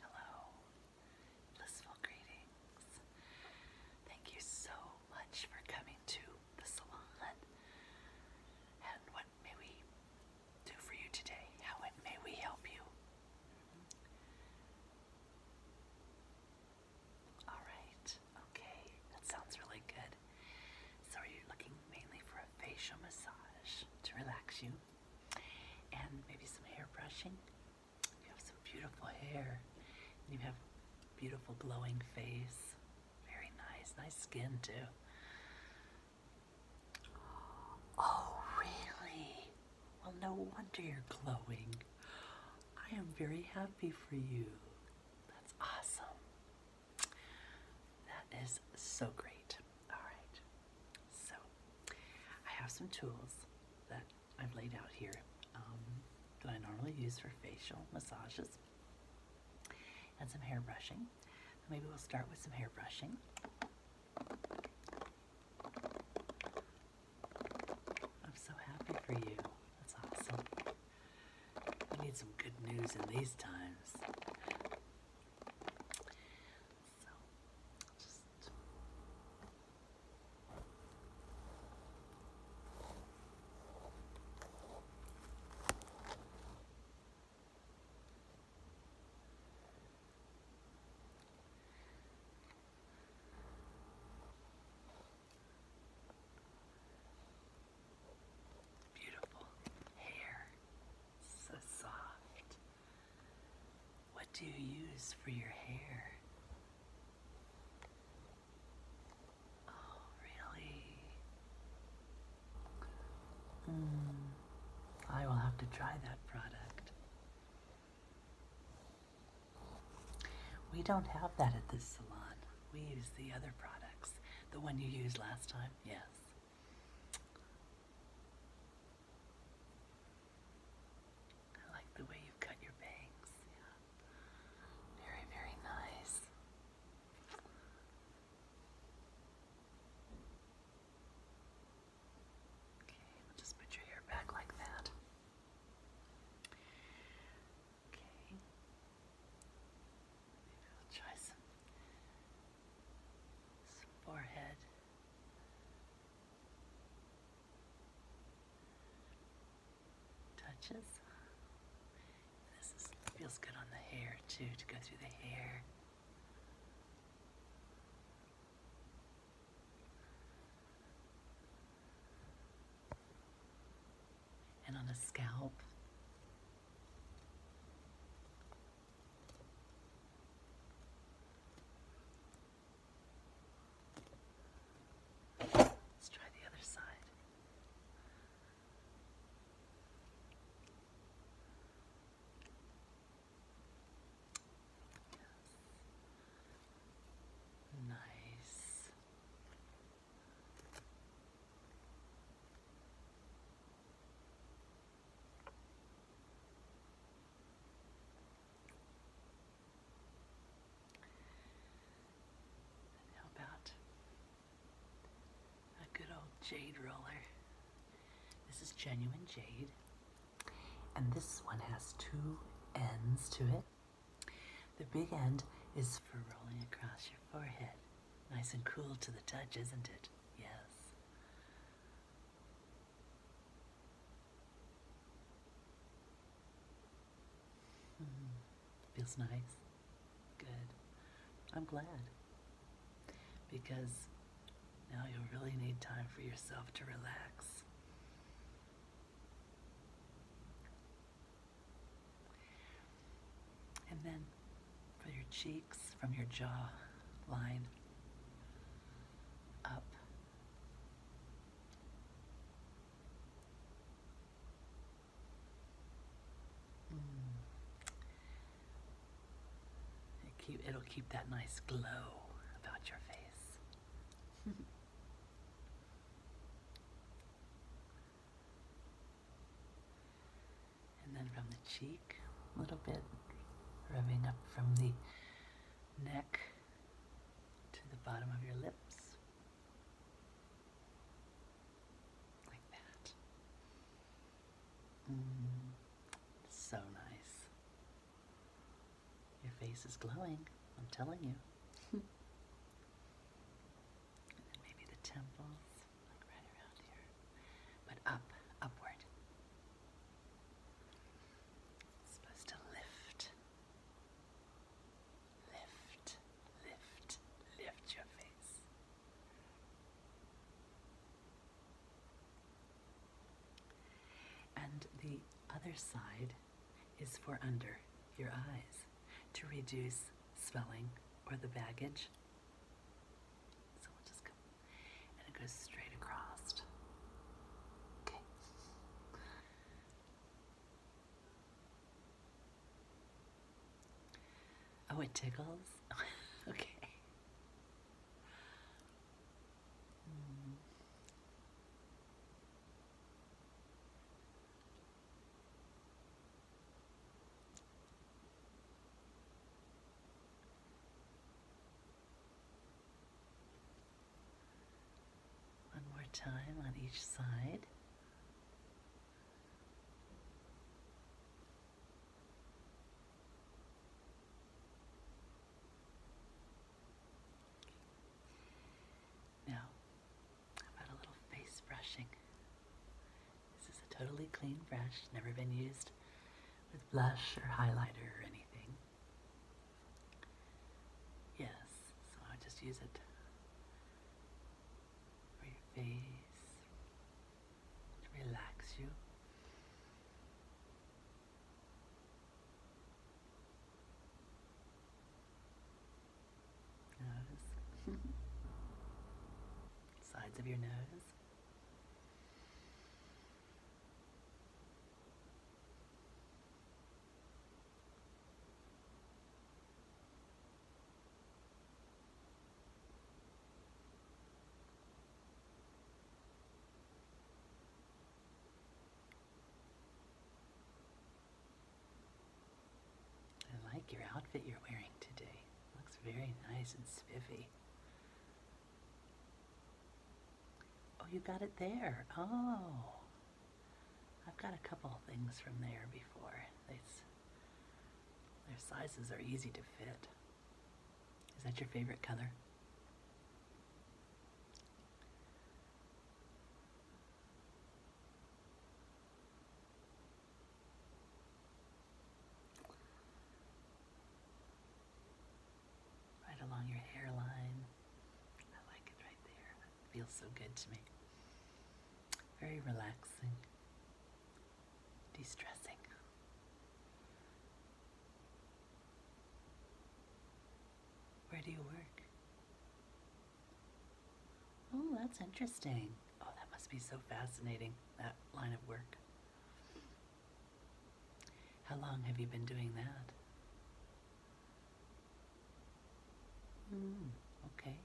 Hello, blissful greetings. Thank you so much for coming to the salon. And what may we do for you today? How may we help you? All right, okay, that sounds really good. So, are you looking mainly for a facial massage to relax you and maybe some hair brushing. You have some beautiful hair and you have beautiful glowing face. Very nice, nice skin too. Oh, really? Well, no wonder you're glowing. I am very happy for you. That's awesome. That is so great. Alright, so I have some tools that I've laid out here um, that I normally use for facial massages and some hair brushing. Maybe we'll start with some hair brushing. I'm so happy for you. That's awesome. We need some good news in these times. Beautiful hair, so soft. What do you use for your hair? Oh, really? Mm, I will have to try that product. We don't have that at this salon. We use the other products, the one you used last time. Yes. I like the way you've cut your bangs. Very, very nice. Okay, just put your hair back like that. Okay. Maybe I'll try some, forehead. Touches. This feels good on the hair too, to go through the hair and on the scalp. Let's try the other side. Nice how about a good old jade roller? This is genuine jade, and this one has two ends to it. The big end is for rolling across your forehead. Nice and cool to the touch, isn't it? Yes. Mm-hmm. feels nice. Good. I'm glad. Because now you really need time for yourself to relax. And then for your cheeks, from your jaw line up. Mm. it'll keep that nice glow about your face. And then from the cheek, a little bit, rubbing up from the neck to the bottom of your lips. Like that. Mm, so nice. Your face is glowing, I'm telling you. And maybe the temples, right around here, but up, upward. supposed to lift, lift, lift, lift your face. And the other side is for under your eyes to reduce swelling or the baggage. So we'll just go, and it goes straight across. Okay. Oh, it tickles? okay. Hmm. One more time on each side. Now, about a little face brushing? This is a totally clean brush, never been used with blush or highlighter or anything. Yes, so I'll just use it for your face to relax you nose, sides of your nose. I like your outfit you're wearing today. Looks very nice and spiffy. Oh, you got it there. Oh. I've got a couple things from there before. They, their sizes are easy to fit. Is that your favorite color? Right along your hairline. I like it right there. feels so good to me. Very relaxing, de stressing. Where do you work? Oh, that's interesting. Oh, that must be so fascinating, that line of work. How long have you been doing that? Hmm, okay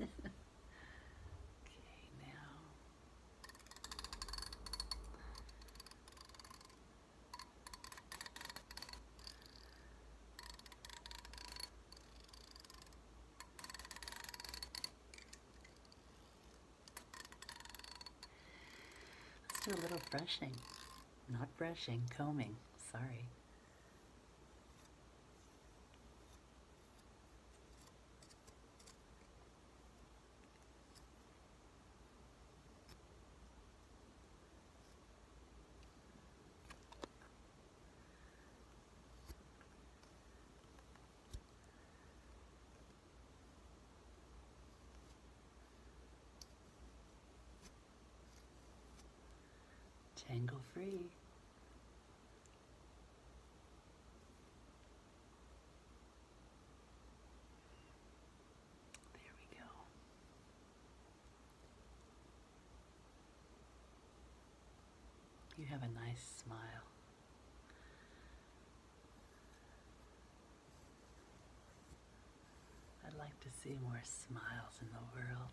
okay, now let's do a little brushing. Not brushing, combing. Sorry. Tangle free. There we go. You have a nice smile. I'd like to see more smiles in the world.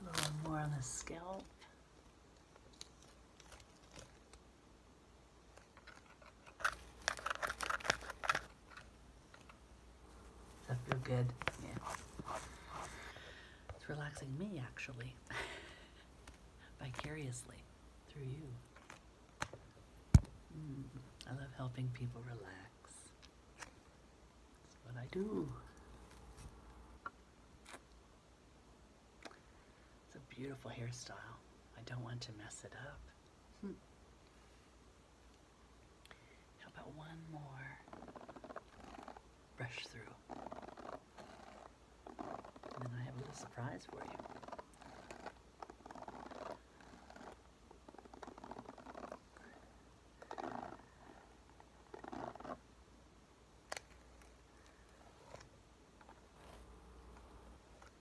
A little more on the scalp. Does that feel good? Yeah. It's relaxing me, actually, vicariously through you. Hmm, I love helping people relax. That's what I do. It's a beautiful hairstyle. I don't want to mess it up. Hmm. How about one more brush through? And then I have a little surprise for you.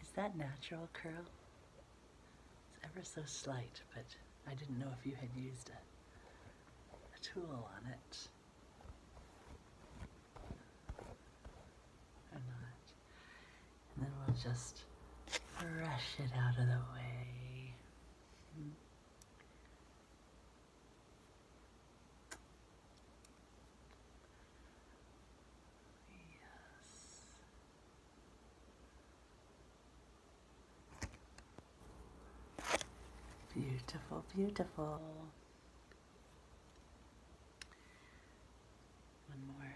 Is that natural curl? It's ever so slight, but I didn't know if you had used a, tool on it. Or not. And then we'll just brush it out of the way. Hmm. Yes. Beautiful, beautiful. One more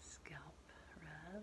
scalp rub.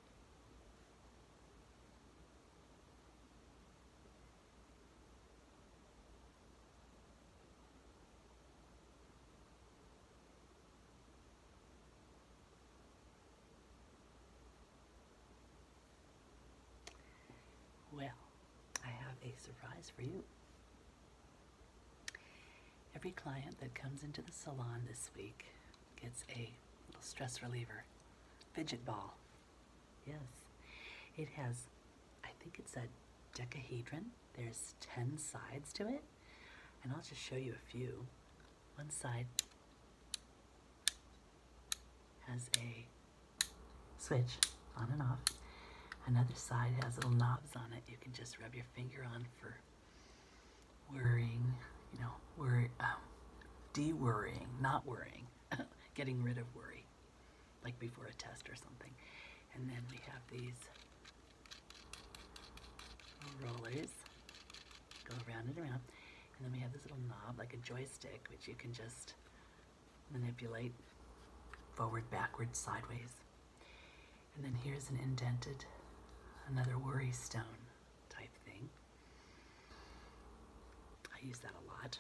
Well, I have a surprise for you. Every client that comes into the salon this week it's a little stress reliever fidget ball. Yes, it has, I think it's a decahedron. There's 10 sides to it, and I'll just show you a few. One side has a switch on and off. Another side has little knobs on it you can just rub your finger on for worrying, you know, worry, um, de worrying, not worrying, getting rid of worry, like before a test or something. And then we have these rollers go around and around. And then we have this little knob, like a joystick, which you can just manipulate forward, backward, sideways. And then here's an indented, another worry stone type thing. I use that a lot.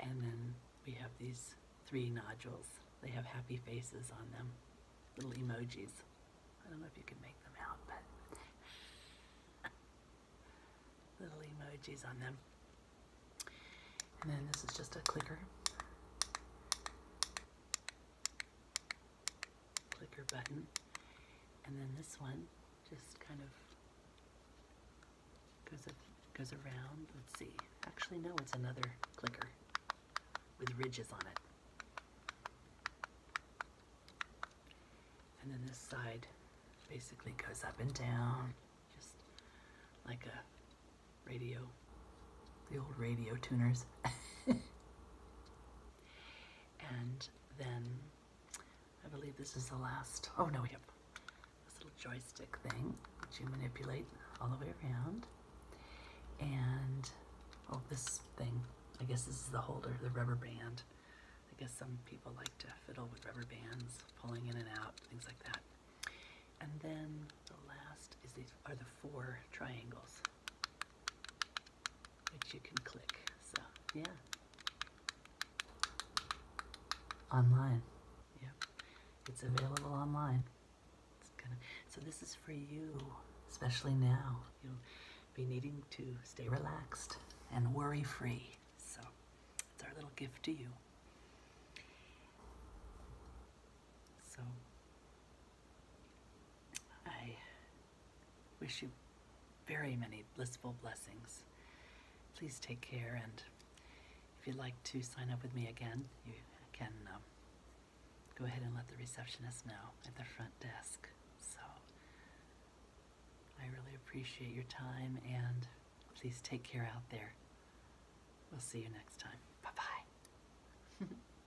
And then we have these three nodules. They have happy faces on them, little emojis. I don't know if you can make them out, but little emojis on them. And then this is just a clicker clicker button. And then this one just kind of goes, goes around. Let's see. Actually, no, it's another clicker with ridges on it. And then this side basically goes up and down, just like a radio, the old radio tuners. And then I believe this is the last. Oh no, we have This little joystick thing, which you manipulate all the way around. And oh, this thing. I guess this is the holder, the rubber band. I guess some people like to fiddle with rubber bands, pulling in and out, things like that. And then the last is these are the four triangles which you can click. So, yeah. Online. Yep. It's available online. It's gonna, so this is for you, especially now. You'll be needing to stay relaxed and worry-free. So it's our little gift to you. So I Wish you very many blissful blessings. Please take care, and if you'd like to sign up with me again, you can um, go ahead and let the receptionist know at the front desk. So I really appreciate your time, and please take care out there. We'll see you next time. Bye bye.